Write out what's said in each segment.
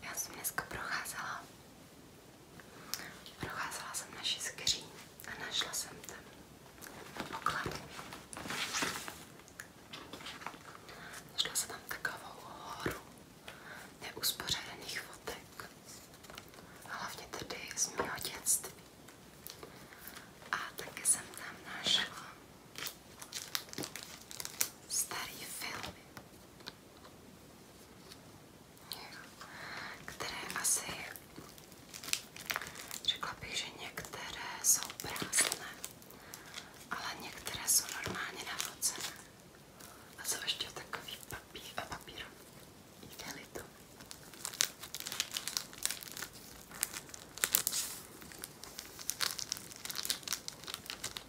Já jsem dneska procházela, procházela jsem naši skříň a našla jsem tam poklad. Našla jsem tam takovou horu neuspořádaných fotek. Hlavně tedy z mého dětství. A taky jsem tam našla starý filmy které asi, řekla bych, že některé jsou prázdné, ale některé jsou normálně navocené. A jsou ještě takový papír a papír. Jde-li to.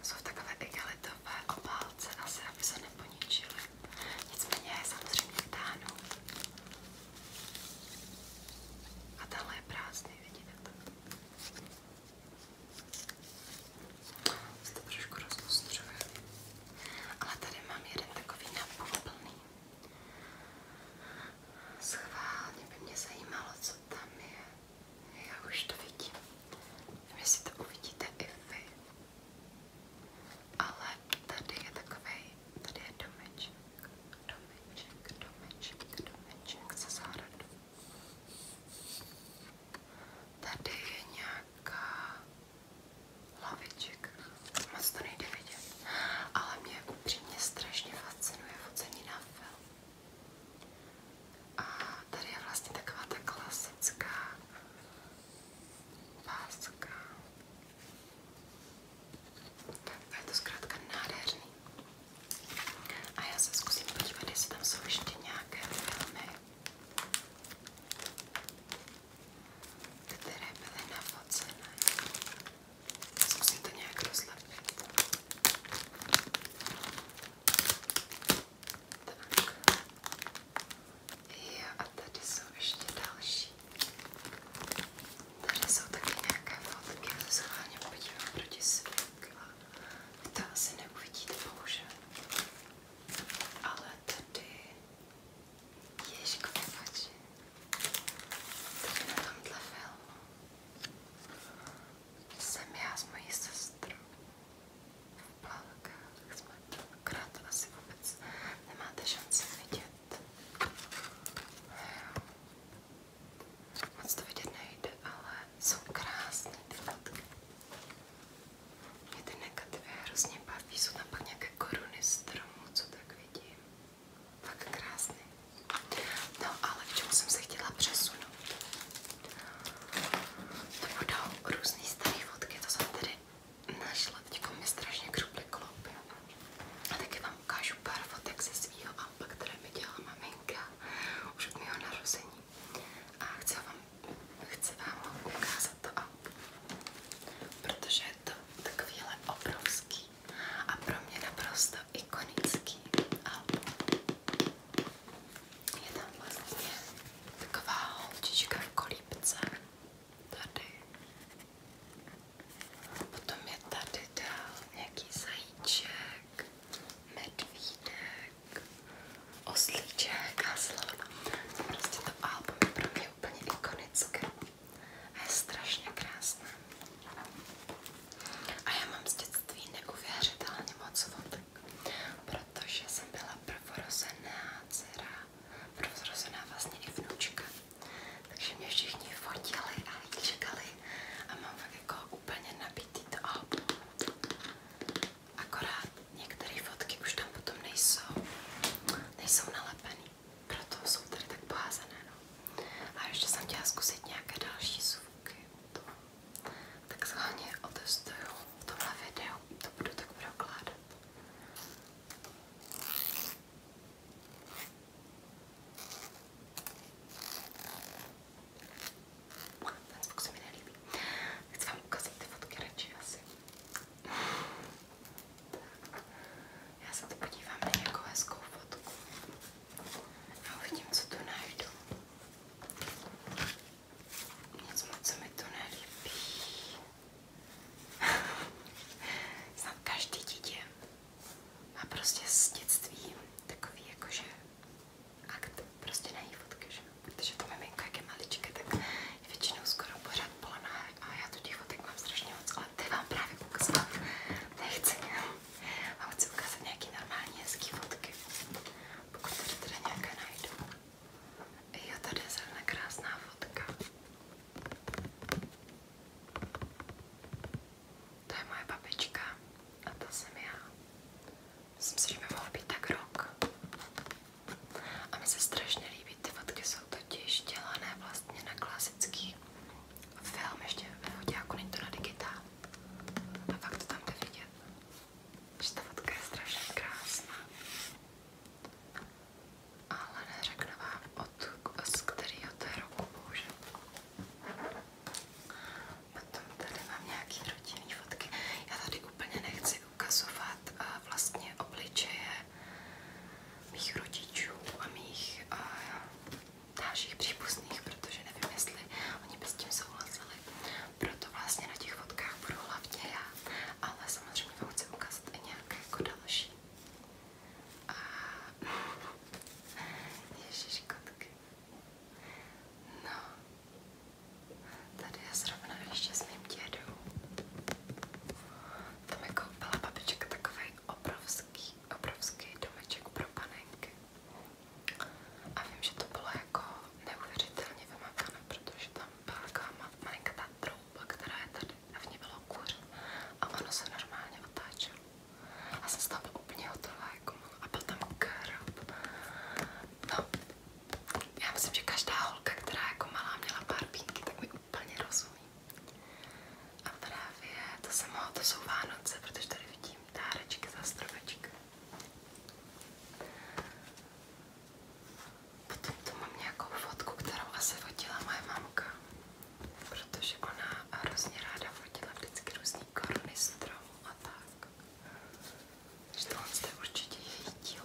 Jsou takové igelitové obálky palce asi, aby se neponičily. Nicméně je samozřejmě vytáhnu. A tenhle je prázdný, vidíte to? Se to trošku rozlustřuje. Ale tady mám jeden takový napůl plný. Schválně by mě zajímalo, co tam je. Já už to vidím. Vy si to uvidíte i vy. Ale tady je takový, tady je domeček, domeček, domeček, domeček se zahradou. Tady je nějaká laviček, moc to nejde vidět, ale mě upřímně strašně fascinuje focení na film. A tady je vlastně taková ta klasická páska. A je to zkrátka nádherný. A já se zkusím podívat, jestli tam jsou ještě nějaké filmy, které byly nafocené. Zkusím to nějak rozlepit. Tak. Jo, a tady jsou ještě další. Tady jsou taky nějaké fotky, já se schválně podívám proti světla. Vy to asi neuvidíte, bohužel. Ale tady... Ježko, nepači. Tady na tomhle filmu jsem já s mojí sestrou v plakách jsme akorát asi vůbec nemáte šanci vidět. Jo. Moc to vidět nejde, ale jsou krásné ty fotky. Mě ty negativy hrozně baví, jsou tam pak nějaké koruny stromů, co tak vidím. Tak krásný. No ale k čemu jsem se chtěla přesunout? To budou různý staré fotky, to jsem tady našla, teďko mě strašně křuply kloupy. A taky vám ukážu pár fotek ze svýho alba, které mi dělala maminka už od mého narození. A chci vám, chci vám ukázat to albu, protože je to takovýhle obrovský a pro mě naprosto ikonický album. Je tam vlastně taková holčička v kolípce. Tady. Potom je tady dál nějaký zajíček, medvídek, oslíček a slovo. Prostě to album je pro mě úplně ikonické. A je strašně krásné. A já mám z dětství neuvěřitelně moc fotek, protože jsem byla prvorozená dcera, prvorozená vlastně i vnučka. Takže mě všichni fotili a čekali a mám fakt jako úplně nabitý to album. Akorát některé fotky už tam potom nejsou, nejsou nalepený, proto jsou tady tak poházené. No. A ještě jsem chtěla zkusit nějaké další zvuky. To mám tak schválně otestuju v tomhle videu, to budu tak prokládat. Ten zvuk se mi nelíbí. Chci vám ukázat ty fotky radši asi. Já se to podívám na nějakou hezkou fotku a uvidím, co tu najdu. Nic moc se mi to nelíbí. Snad každý dítě má prostě z dětství takový jakože akt prostě na její fotky, že? Protože to miminko, jak je maličké, tak je většinou skoro pořád polná a já tu těch fotek mám strašně moc, ale ty vám právě ukázat nechci. A chci ukázat nějaký normální hezký fotky, pokud tady teda nějaké najdu. Jo, tady je zrovna krásná fotka. To je moje babička a to jsem já. Myslím si, že mi mohlo být tak rok. A mi se strašně líbí, ty fotky jsou totiž dělané vlastně na klasický film, ještě ve jako není to na digitál. A fakt to tam jde vidět že ta fotka je strašně krásná. Ale neřeknu vám, od, z kterého to je roku, bohužel. Potom tady mám nějaký rodinný fotky. Já tady úplně nechci ukazovat eh, vlastně obličeje mých rodičů a mých a, eh, dalších příbuzných, protože nevím, jestli oni by s tím souhlasili proto vlastně na těch fotkách budu hlavně já, ale samozřejmě vám chci ukázat i nějaké jako další. A... Ježíš, kotky. No, tady je zrovna ještě s mým dědou. Tam mi koupila jako babička takový obrovský, obrovský domeček pro panenky. A vím, že to bylo jako neuvěřitelně vymakané, protože tam byla taková malinká trouba, která je tady a v ní bylo kuře a ono se normálně otáčelo. A jsem tam úplně hotová, jako a byl tam krab. No, já myslím, že každá holka, která jako malá měla pár pínky, tak mi úplně rozumí. A právě to jsem mohla, to jsou Vánoce, protože tady vidím dárečky za stromeček. Potom tu mám nějakou fotku, kterou asi fotila moje mamka, protože ona hrozně ráda fotila vždycky různý koruny stromů a tak. Takže tohle je určitě její dílo.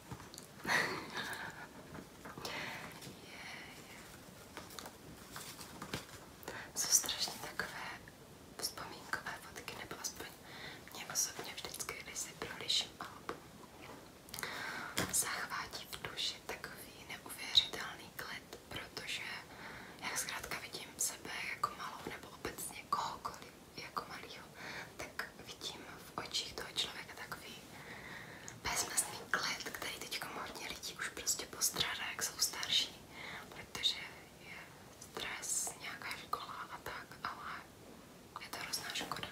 yeah, yeah. Jsou strašně takové vzpomínkové fotky, nebo aspoň mě osobně vždycky, když si proliším album, zachvátí v duši takový neuvěřitelný klid, protože jak zkrátka vidím sebe jako malou nebo obecně kohokoliv jako malýho, tak vidím v očích toho člověka takový bezmezný klid, který teďka hodně lidí už prostě postrádá, jak jsou starší, protože je stres, nějaká škola a tak, ale je to hrozná škoda.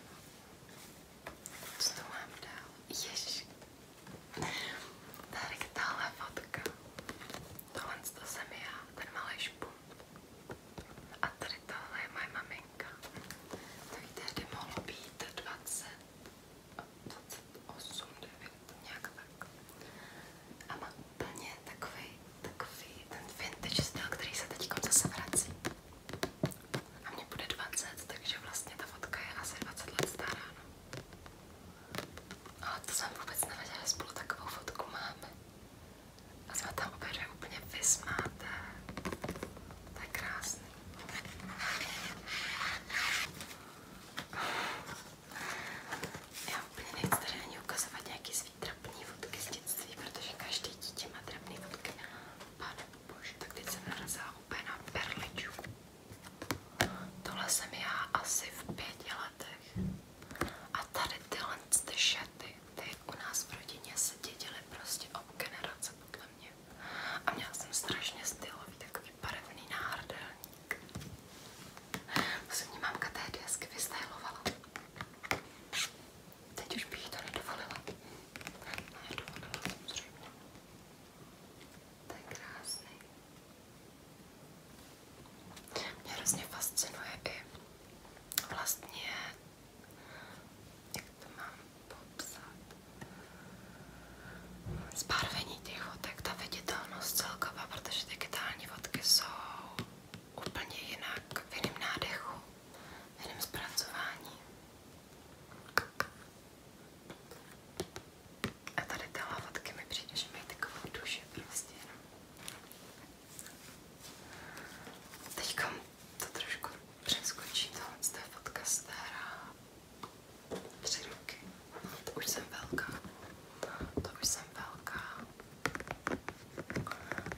Co tu mám dál? Ježiš. Tady tahle fotka. Tohle to jsem já, ten malý špunt. A tady tohle je moje maminka. To víte, kdy mohlo být 20, 28, 9, nějak tak. A má úplně ten vintage styl, který se teď zase vrací. A mně bude 20, takže vlastně ta fotka je asi 20 let stará. No. Ale to jsem nevěděla, že spolu takovou fotku máme. A tam obě dvě úplně vysmáte. To je krásný. Já úplně nechci tady ani ukazovat nějaký svý trapný fotky z dětství, protože každý dítě má trapný fotky. Pane bože, tak teď jsem narazila úplně na perličku. Tohle jsem já asi v pěti letech. A tady tyhle ty šaty, ty u nás v rodině se dědily prostě ob generace podle mě. A měla jsem strašně stylový, takový barevný náhrdelník. Vlastně mě mámka tehdy hezky vystylovala. Teď už bych jí to nedovolila. Nedovolila samozřejmě. To je krásný. Mě hrozně fascinuje i vlastně to mám popsat. Zbarvení těch fotek, ta viditelnost celková, protože digitální fotky jsou úplně jinak, v jiném nádechu, v jiném zpracování. A tady tyhle fotky mi přijde, že mají takovou duši prostě. No. Teďka to trošku přeskočí, tohle je fotka stará. Tři roky. To už jsem velká. To už jsem velká.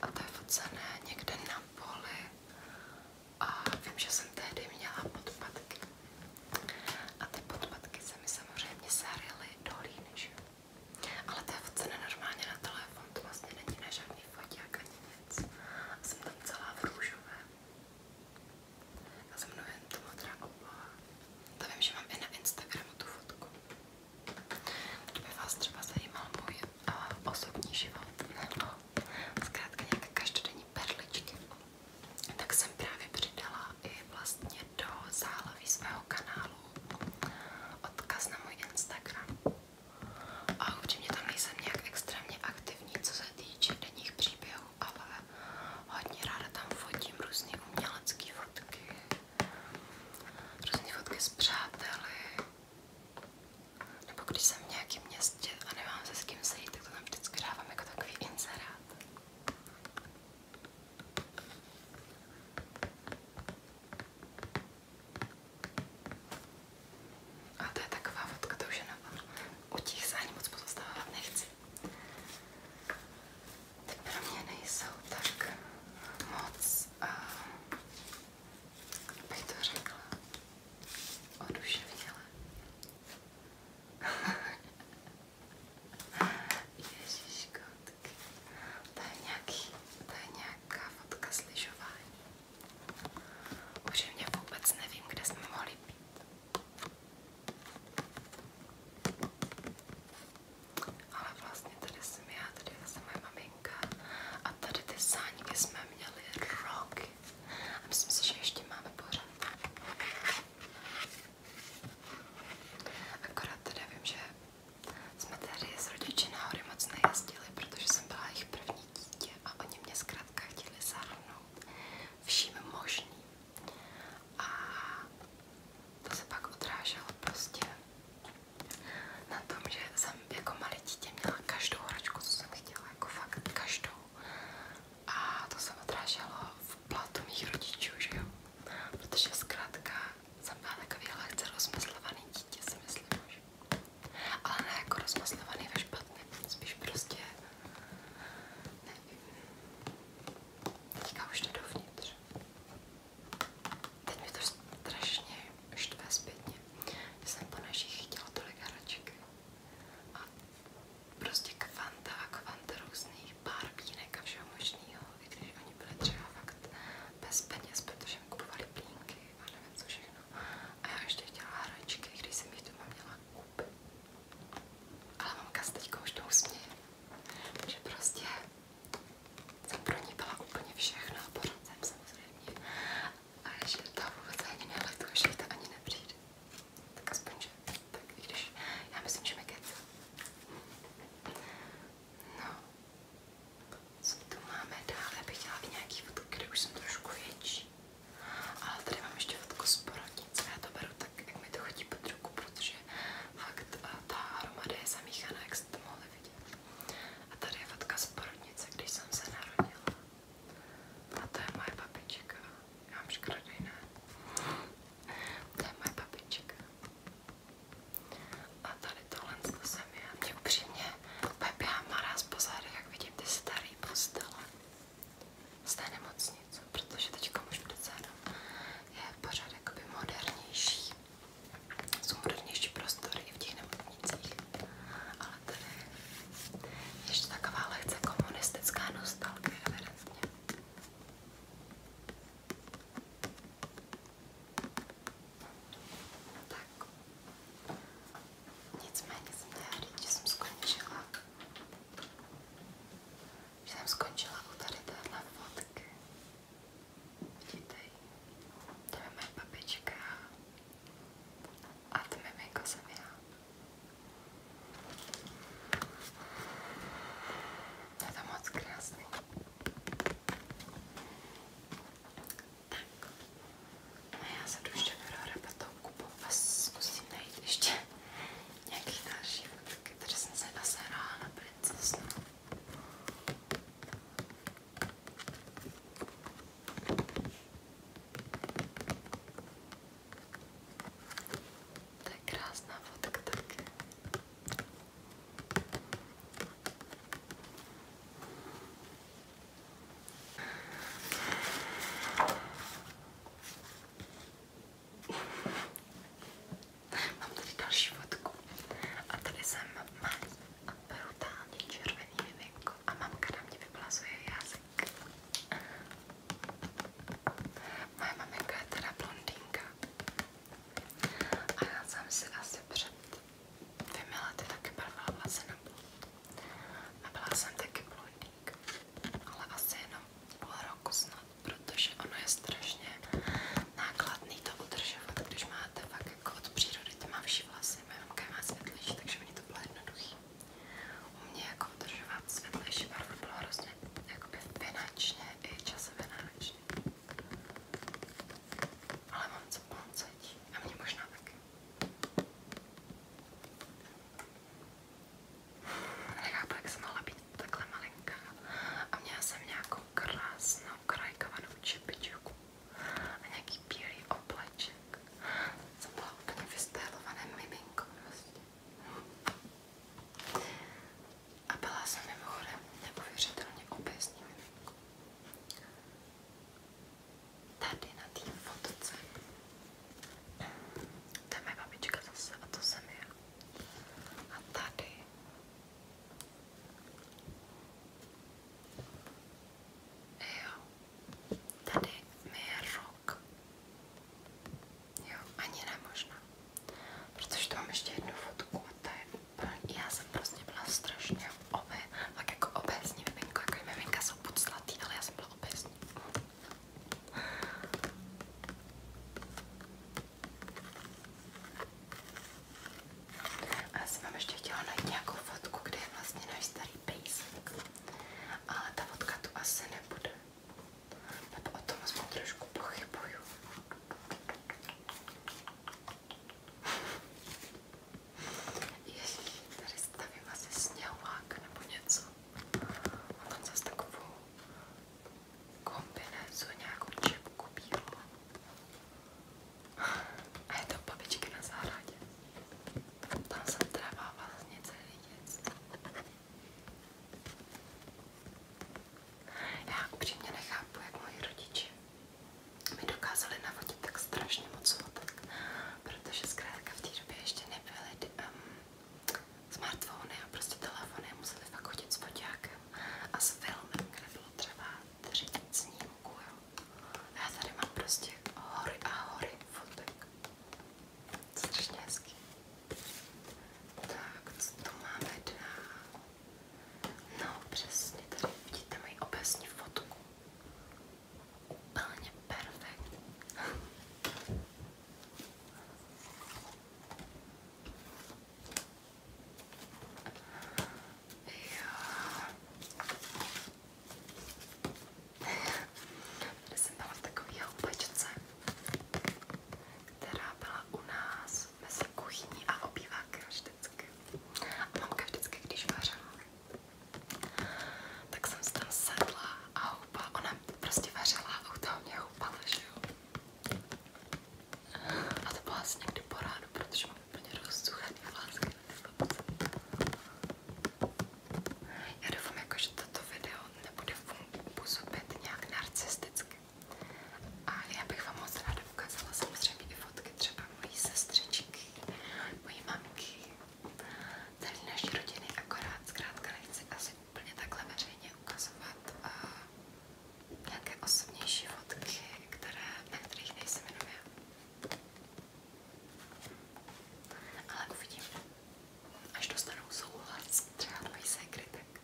A to je focené někde na poli. A vím, že jsem tehdy měla podpadky. A ty podpadky se mi samozřejmě sarily do líny, Ale to je focené normálně na telefon, to vlastně není na žádný foťák ani nic. A jsem tam celá v růžové. Já jsem mnohem to modrá obloha. To vím, že mám i na Instagramu tu fotku. Kdyby vás třeba zajímal můj uh, osobní život, nebo zkrátka nějaké každodenní perličky, tak jsem právě přidala i vlastně do záhlaví svého kanálu odkaz na můj Instagram. A určitě tam nejsem nějak extrémně aktivní, co se týče denních příběhů studiu, ale hodně ráda tam fotím různé umělecké fotky, různé fotky s přáteli, nebo když jsem v nějakém městě a nemám se s kým sejít, tak to tam vždycky dávám jako takový inzerát. A to je taková fotka, to už je na O těch se ani moc pozostávat nechci. Ty pro mě nejsou tak moc, uh, bych to řekla, oduševněle. Ježíško, tak to je, nějaký, to je nějaká fotka s lyžování. Už mě vůbec nevím, kde jsme mohli být. Ale vlastně tady jsem já, tady je zase moje maminka a tady ty sáníky jsme měli roky a myslím si, že ještě máme pořád. Akorát teda vím, že jsme tady s rodiči nahoře moc nejezdili, protože jsem byla jejich první dítě a oni mě zkrátka zkrátka chtěli zahrnout vším možným. A to se pak odráželo prostě na tom, že jsem jako malé dítě měla každou hračku, co jsem chtěla, jako fakt každou. A to se odráželo v platu mých rodičů, že jo? Protože zkrátka jsem byla takový lehce rozmyslovaný dítě, si myslím, že. Ale ne jako rozmyslovaný ve špatném, spíš prostě Nevím. Teďka už jde dovnitř. Teď mi to strašně štve zpětně. Já jsem po našich chtěla tolik hraček. A prostě kvanta a kvanta různých barbínek a všeho možného, i když oni byli třeba fakt bez peněz, protože mi kupovali plínky a nevím co všechno. A já ještě chtěla hračky, když jsem jich doma měla koupit. Ale mamka se teďka už tou směje, že prostě jsem pro ní byla úplně všechno poradcem samozřejmě a že ta vůbec ani neletuje, že ta ani nepřijde. Tak aspoň, že tak i když já myslím, že mi kecá. No, co tu máme dále? Bych chtěla i nějaký fotky, kde už jsem trošku větší. A tady mám ještě fotku z porodnice, já to beru tak, jak mi to chodí pod ruku, protože fakt eh, ta hromada je zamíchaná, jak jste to mohli vidět. A tady je fotka z porodnice, když jsem se narodila. A to je moje babička. Já mám škrodej, ne? To je moje babička. A tady tohle to jsem já. Mě upřímně pepěhá maraz po zádech, jak vidím ty starý postele z té nemocnice, protože teďka už přece jenom je pořád jakoby modernější, jsou modernější prostory i v těch nemocnicích, ale tady ještě taková lehce komunistická nostalgie evidentně. Tak. Nicméně jsem tehdy, že jsem skončila. Že jsem skončila u tady téhle fotky. Vidíte ji? To je moje babička. A to miminko jsem já. To je to moc krásný. Tak. A já se jdu ještě prohrabat tou kupou a zkusím najít ještě nějaký další fotky, které jsem se naserala na princesu. To je krásná fotka taky. Mám tady další fotku. A tady jsem malý a brutálně červený miminko a mamka na mě vyplazuje jazyk. Moje maminka je teda blondýnka. A já jsem si asi před dvěmi lety taky barvila vlasy na blond. A byla jsem taky blondý ročník, ale asi jenom půl roku snad, protože ono je strašně nákladný to udržovat, když máte fakt jako od přírody tmavší vlasy, mamka má světlejší, takže mi to bylo jednoduchý. U mě jako udržovat světlejší barvu bylo hrozně jakoby finančně i časově náročné. Ale mám co mám cítí a mě možná taky. Nechápu, jak jsem mohla být takhle malinká. A měla jsem nějakou krásnou krajkovanou čepičku a nějaký bílý obleček. Jsem byla úplně vystylované miminko prostě. A byla jsem mimochodem neuvěřitelně obézní miminko. Tady na té fotce to je moje babička zase a to jsem já. A tady. Jo. Tady mi je rok. Jo, ani ne možná. Protože tu mám ještě jednu fotku a ta je úplně... Já jsem prostě byla strašně obé, tak jako obézní miminko, jako miminka jsou buď slatý, ale já jsem byla obézní. A já jsem vám ještě chtěla najít nějakou fotku, kde je vlastně náš starý pejsek. Ale ta fotka tu asi nebude. Nebo o tom aspoň trošku pochybuju. Ježíš, tady stavím asi sněhovák nebo něco. A mám zase takovou kombinézu, nějakou čepku bílou. A je to babičky na zahradě. Tam jsem trává vlastně celý dětství. Já upřímně nechápu, jak moji rodiče mi dokázali navodit tak strašně moc fotek, protože zkrátka v té době ještě nebyly um, smartfony a prostě telefony museli fakt chodit s foťákem a s filmem, kde bylo třeba 30 snímků, jo. A já tady mám prostě hory a hory fotek. Strašně hezký. Tak, co tu máme dál? No přesně, tady vidíte moji obecní fotku. Úplně perfektní. Tady jsem byla v takové houpačce, která byla u nás mezi kuchyní a obývákem vždycky. A mamka vždycky, když vařila, tak jsem se tam sedla a houpala, ona prostě vařila a u toho mě houpala, že jo. A to bylo asi někdy po ránu, protože mám úplně rozsuchaný vlásky na ty Já doufám, jako, že toto video nebude působit nějak narcisticky. A já bych vám moc ráda ukázala samozřejmě i fotky třeba mojí sestřičky, mojí mamky, celý naší rodiny, akorát zkrátka nechci asi úplně takhle veřejně ukazovat a eh, nějaké osobnější fotky, které, na kterých nejsem jenom já. Ale uvidím, až dostanou souhlas třeba tvojí sekrytek,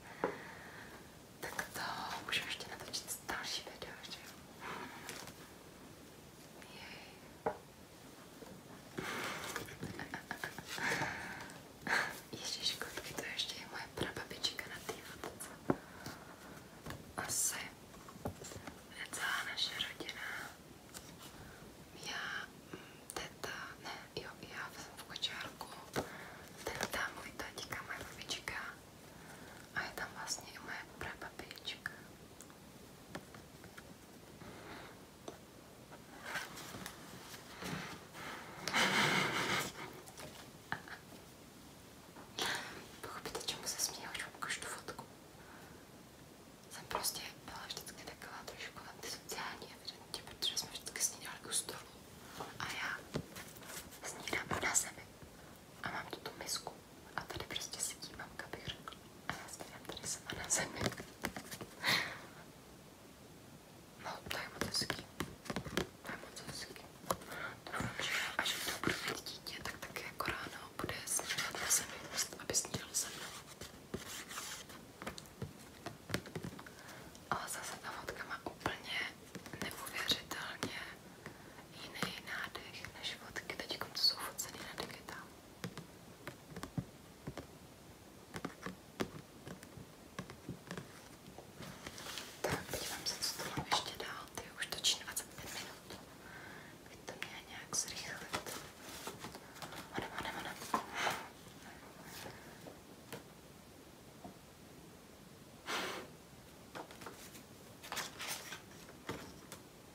tak to můžu ještě natočit další video, že jo? Jej. Ježíš, kotky, to ještě je moje prababička na té fotce. Asi je celá naše rodina. Já, mm, teta, ne, jo, já jsem v kočárku, teta, můj tatíka, moje babička a je tam vlastně i moje prababička. Pochopíte, čemu se směju, když ukážu tu fotku? Jsem prostě byla vždycky taková trošku antisociální evidentně, protože jsme vždycky snídali u stolu. A já snídám na zemi. A mám tu tu misku. A tady prostě sedí mamka, bych řekla. A já snídám tady sama na zemi. No, to je moc hezký. To je moc hezký. Doufám, že až to budu mít dítě, tak taky jako ráno bude snídat na zemi, prostě, aby snídalo se mnou. Ale zase ta fotka má úplně neuvěřitelně jiný nádech než fotky teď, co jako jsou focený na digitálu. Tak, podívám se, co to mám ještě dál. Ty už točím 25 minut. Teď to mě nějak zrychlit. Onem, onem, onem.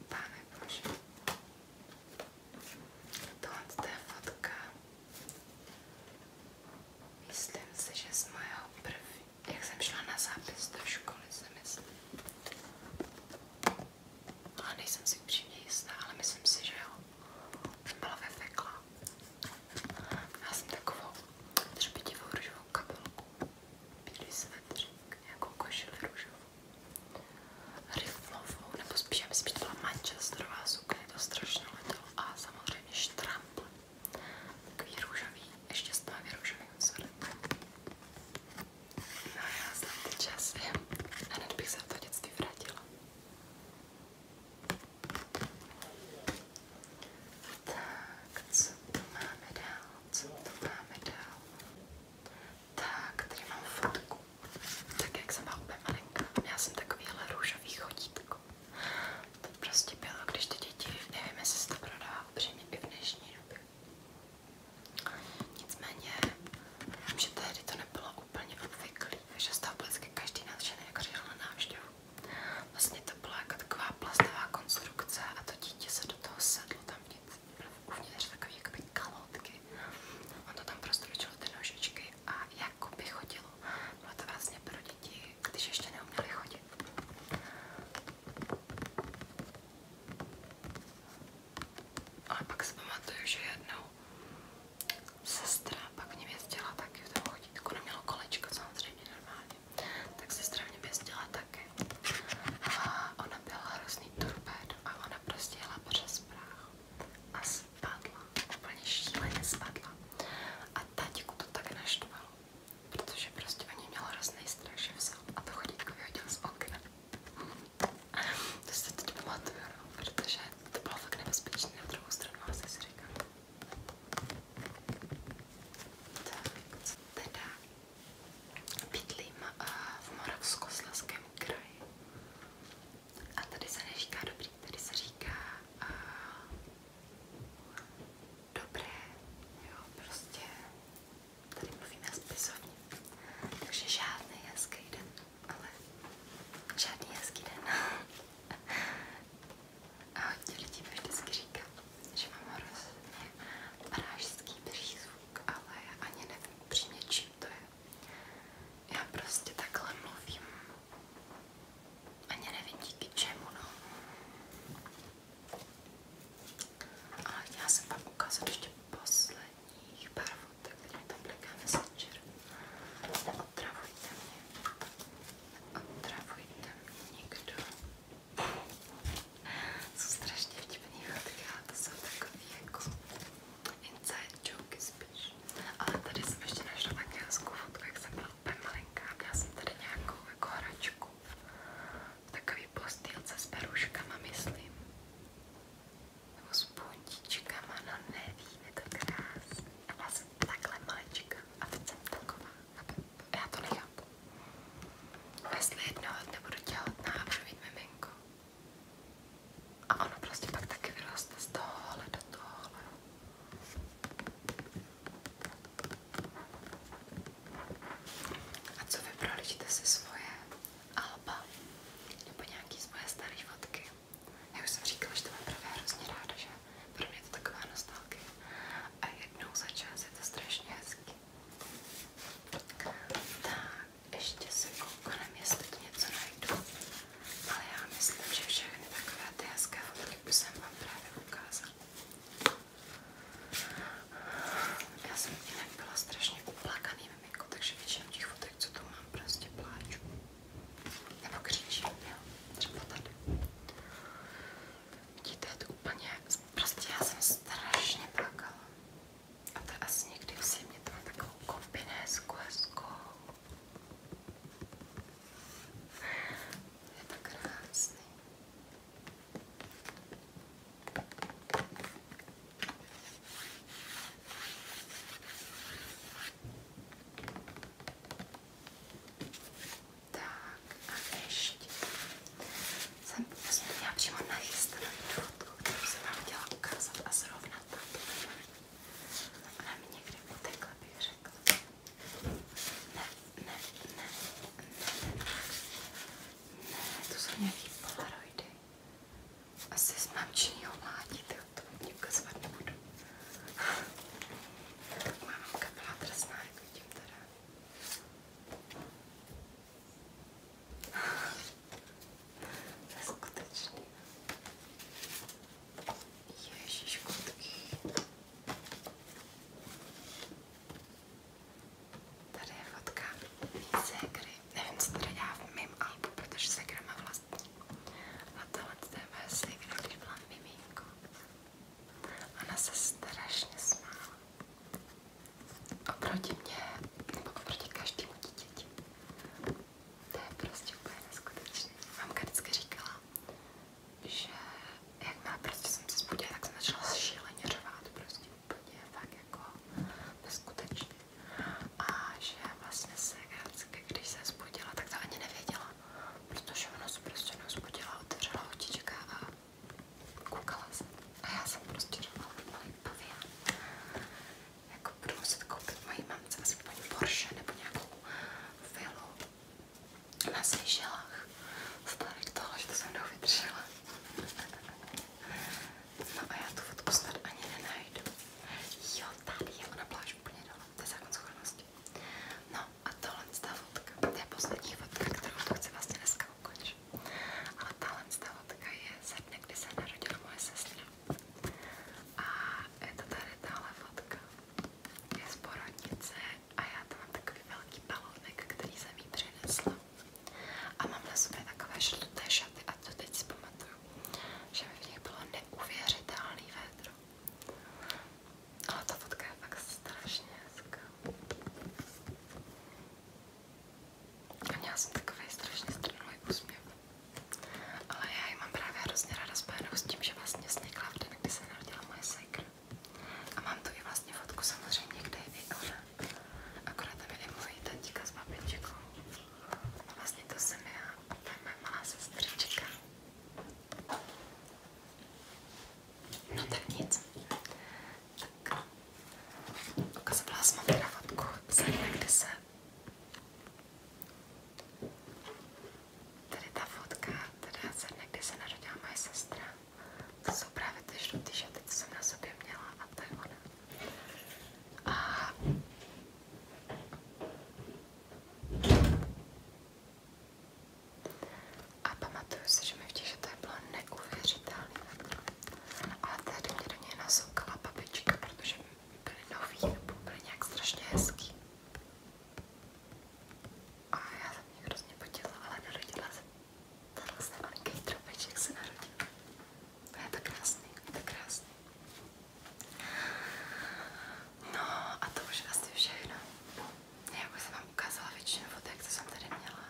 Páne bože. Tohle je fotka. Myslím si, že z mého první, jak jsem šla na zápis do školy, se myslím. Ale nejsem si upřímně jistá, ale myslím si, že jo. Jsem byla ve fekla. Já jsem takovou třepitivou růžovou kabelku, bílý svetřík, nějakou košili růžovou riflovou, nebo spíš, já myslím, že to byla manchesterová sukně, to strašně letělo a samozřejmě štrampl, takový růžový, ještě stavě růžovým vzorem. No já znám ty časy, hned bych se do dětství vrátila. Tak, co tu máme dál, co tu máme dál? Tak, tady mám fotku tak jak jsem byla úplně malinká. Měla jsem takovýhle růžový chodítko. To prostě bylo, když ty děti, nevím, jestli se to prodá upřímně i v dnešní době. Nicméně, vím, že tehdy to nebylo úplně obvyklý, že z toho vždycky každý nadšený jako řešil na návštěvu. Vlastně to byla jako taková plastová konstrukce a to dítě se do toho sedlo tam nic. Uvnitř takový jakoby kalotky. On to tam prostě ty nožičky a jak by chodilo. Bylo to vlastně pro děti, když ještě neuměli chodit. Ale pak si pamatuju, že jednou sestra pak mě věstila taky v tom chodítku. Jako nemělo kolečko, samozřejmě normálně. Tak sestra mě věstila taky. A ona byla hrozný torpédo a ona prostě jela přes práh a spadla, úplně šíleně spadla. A tátíku to tak naštvalo, protože prostě o ní měl hrozný strach, že vzal a to chodítko vyhodil z okna. to se teď pamatuju, no, protože to bylo fakt nebezpečné, na druhou stranu asi si říkám. Tak, teda bydlím uh, v Moravskoslezském kraji a tady se neříká dobrý, tady se říká a, eh, dobré, jo, prostě tady mluvíme spisovně. Takže žádný hezký den, ale žádný hezký den. a hodně lidí mi vždycky říká, že mám hrozně pražský přízvuk, ale já ani nevím upřímně, čím to je. Já prostě takhle mluvím. Ani nevím díky čemu, no. Ale chtěla jsem vám ukázat ještě posledních pár fotek, které mi tam bliká Messenger. Neotravujte mě. Neotravujte mě nikdo. Jsou strašně vtipný fotky, ale to jsou takový jako inside joke spíš. Ale tady jsem ještě našla taky hezkou fotku, jak jsem byla úplně malinká. Měla jsem tady nějakou jako hračku. Takový postýlce s peruškama, myslím. Nebo s puntíčkama, no nevím, je to krásný. A byla jsem takhle malička a teď jsem taková. Já to nechápu. Jestli jednoho nebudu těhotná a budu mít miminko, a ono prostě pak taky vyroste z tohohle do tohohle. A co vy prolížíte si svoje alba nebo nějaký svoje staré fotky? Já už jsem říkala, že to mám právě hrozně ráda, že pro mě je to taková nostalgie. A jednou za čas je to strašně hezký. Tak, ještě se koukám, jestli tu něco najdu ale já myslím, že všechny takové ty hezké fotky už jsem vám právě ukázala. Já jsem jinak byla strašně uplakaný miminko, takže většinu těch fotek, co tu mám, prostě pláču. Nebo křičím, jo, třeba tady. Vidíte, je to úplně, prostě já jsem strašně plakala. A to asi někdy v zimě, to mám takovou kombinésku hezkou. Je tak krásný. Tak a ještě jsem vlastně měla přímo nachystanou fotku, kterou jsem vám chtěla ukázat a srovnat. Tak. Ona mi někdy utekla, bych řekla. Ne, ne, ne, ne, ne, ne, to jsou nějaký polaroidy. Asi z mamčinního mládí, tak to od ní ukazovat nebudu. Tak má mamka byla drsná, jak vidím teda neskutečný. Ježíš, kutky. Tady je fotka mý ségry. Nevím, co tady dělá v mém albu, protože ségra má vlastní. A tohle to je moje ségra, když byla miminko. Ona se strašně smála. Oproti mě, nebo oproti každému dítěti. To je prostě úplně neskutečné. Mamka vždycky říkala, že jak má prostě jsem se zbudila, tak jsem začala šíleně řvát, prostě úplně fakt jako neskutečně. A že vlastně se vždycky, když se zbudila, tak to ani nevěděla, protože ona se prostě zbudila, otevřela otička a koukala se. A já jsem prostě řvala, malý pavián jako budu muset koupit mojí mamce asi Porsche nebo nějakou vilu na Seychellách v tohle, že to jsem mnou vydržela. No a já tu fotku snad ani nenajdu. Jo, tady je ona pláž úplně dole, to je zákon schopnosti. No a tohle ta fotka, to je poslední fotka, kterou tu chci vlastně dneska ukončit. Ale tahle ta fotka je ze dne, kdy se narodila moje sestra. A je to fotka. Je z a já tam takový velký balounek, který jsem jí přinesla. A mám na sobě takové žluté šaty a to teď si pamatuju, že v nich bylo neuvěřitelný vedro. Ale ta fotka je fakt strašně hezká. A měla jsem takový strašně strnulý úsměv. Ale já ji mám právě hrozně ráda spojenou s tím, že vlastně vznikla v den, kdy se narodila moje sekra. A mám tu i vlastně fotku samozřejmě, kde je i ona. Akorát tam je mojí tatíka s babičkou. A vlastně to jsem já a to je moje malá sestřička. No tak nic. Tak ukazovala jsem vám teda fotku z kde se Tady ta fotka, teda ze dne, kdy se narodila moje sestra, to jsou právě ty žlutý šaty, co jsem na sobě měla a to je ona. A... A pamatuju si, že mi v těch šatách bylo neuvěřitelné. Ale tehdy mě do něj nasoukala babička, protože byly nový nebo byly nějak strašně hezký. A já jsem mě hrozně potěla, ale narodila jsem. Tato se malinký trobeček se narodil. To je tak krásný, je tak krásný. No a to už asi všechno. Já bych se vám ukázala většinu fotek, co jsem tady měla.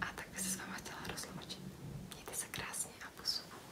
A tak bych se s váma chtěla rozloučit. Mějte se krásně a posuvu.